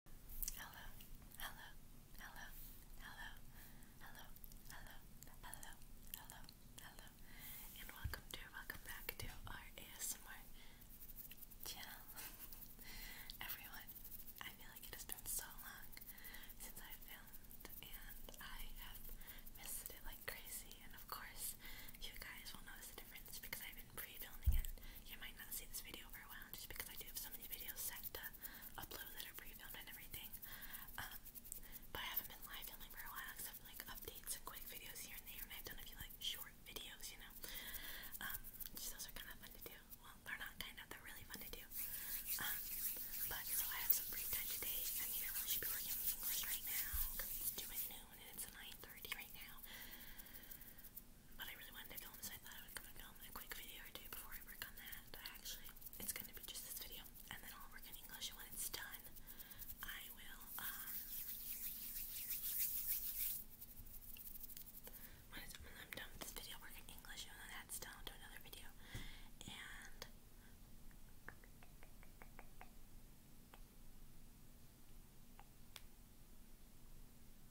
Hello, hello, hello, hello, hello, hello, hello, hello, hello, and welcome to, welcome back to our ASMR channel. Everyone, I feel like it has been so long since I filmed, and I have missed it like crazy, and of course, you guys will notice the difference because I've been pre-filming it. You might not see this video for a while just because I do have so videos set to upload that are pre-filmed and everything. Um, but I haven't been live filming for a while except like updates and quick videos here and there, and I've done a few like short videos, you know. Um, those are kind of fun to do. Well, they're not kind of, they're really fun to do. Um, but so I have some free time today. I mean, I should be working on English right now because it's due noon and it's 9:30 right now but I really wanted to film this. I thought I would film a quick video or two before I work on that. I actually, it's going to be just this video, and then i work in English. And when it's done, I will. Um, when, I'm done with this video, work in English, and then that's done, do another video. And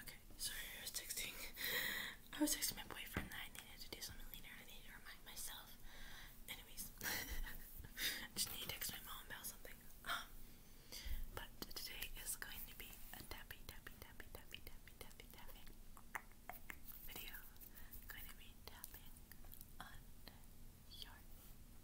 Okay, sorry, I was texting. I was texting my boyfriend that I needed to do something later. I needed to remind myself. Anyways, just need to text my mom about something. Um, but today is going to be a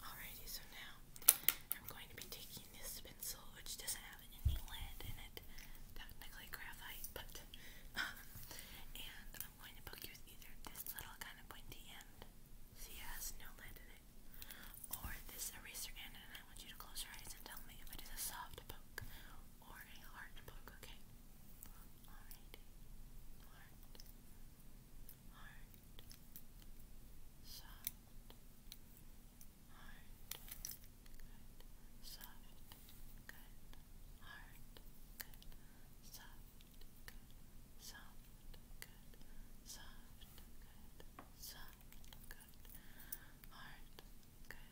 Alrighty, so now I'm going to be taking this pencil, which doesn't have any lead in it, technically graphite, but, um, and I'm going to poke you with either this little kind of pointy end, see it has no lead in it, or this eraser end, and I want you to close your eyes and tell me if it is a soft poke or a hard poke, okay? Alright, heart, soft, heart, good, soft, good, heart, good, soft, good, soft, good, soft, good, soft, good, heart, good,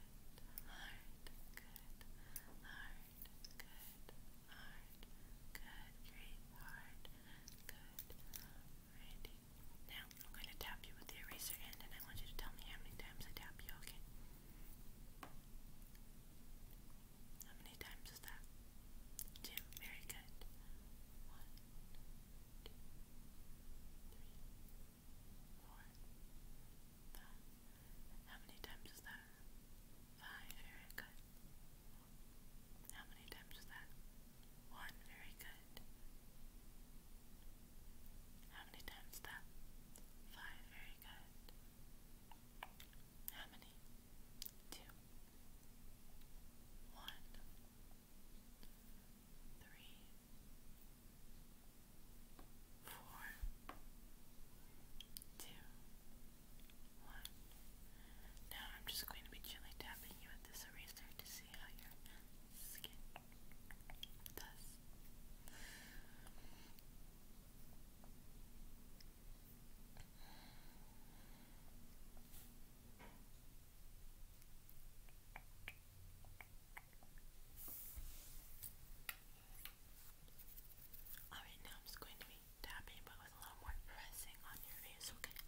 heart, good, heart good, hard, good, great, hard, good, ready. Now, I'm going to tap you with the eraser end and I want you to tell me how many times I tap you, okay? How many times is that? Two, very good. One, two, three, four, five. Six, seven, eight, nine, ten, eleven, twelve, how many times is that? Five, very good. How many times is that? One, very good. How many times is that? Five, very good. How many? Two. One. Three. Four. Two. Now I'm just going to be gently tapping you with this eraser to see how your skin does. Alright, now I'm just going to be tapping but with a little more pressing on your face, okay?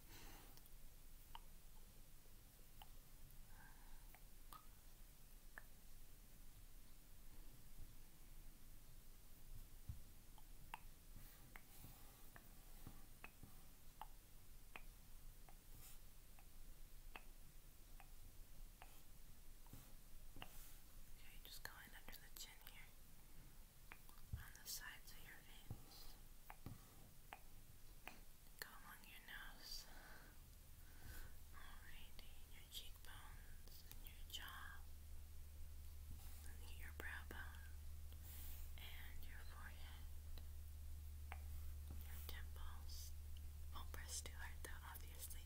Okay, just going under the on the sides of your veins. Go along your nose. Alrighty, your cheekbones your jaw. your brow bone and your forehead. Your temples. Won't press too hard though, obviously.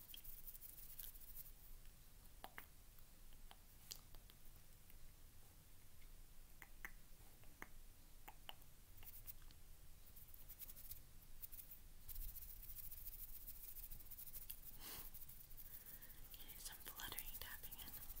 You need some fluttering tapping in. Good.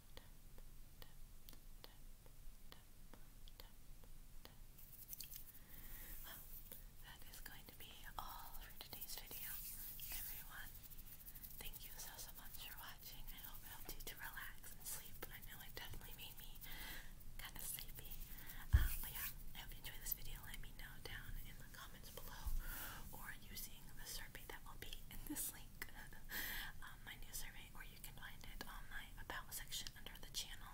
Well, that is going to be all for today's video, everyone. Thank you so, so much for watching. I hope it helped you to relax and sleep. I know it definitely made me kind of sleepy. Um, but yeah, I hope you enjoyed this video. Let me know down in the comments below or using the survey that will be in this link. Um, my new survey, or you can find it on my about section under the channel.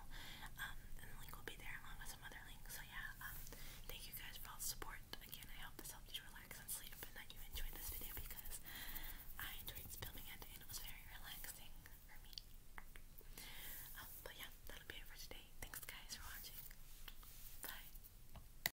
Um, and the link will be there along with some other links. So yeah, um, thank you guys for all the support. Again, I hope this helped you relax and sleep, and that you enjoyed this video because I enjoyed filming it and it was very relaxing for me. but yeah, that'll be it for today. Thanks guys for watching. Bye.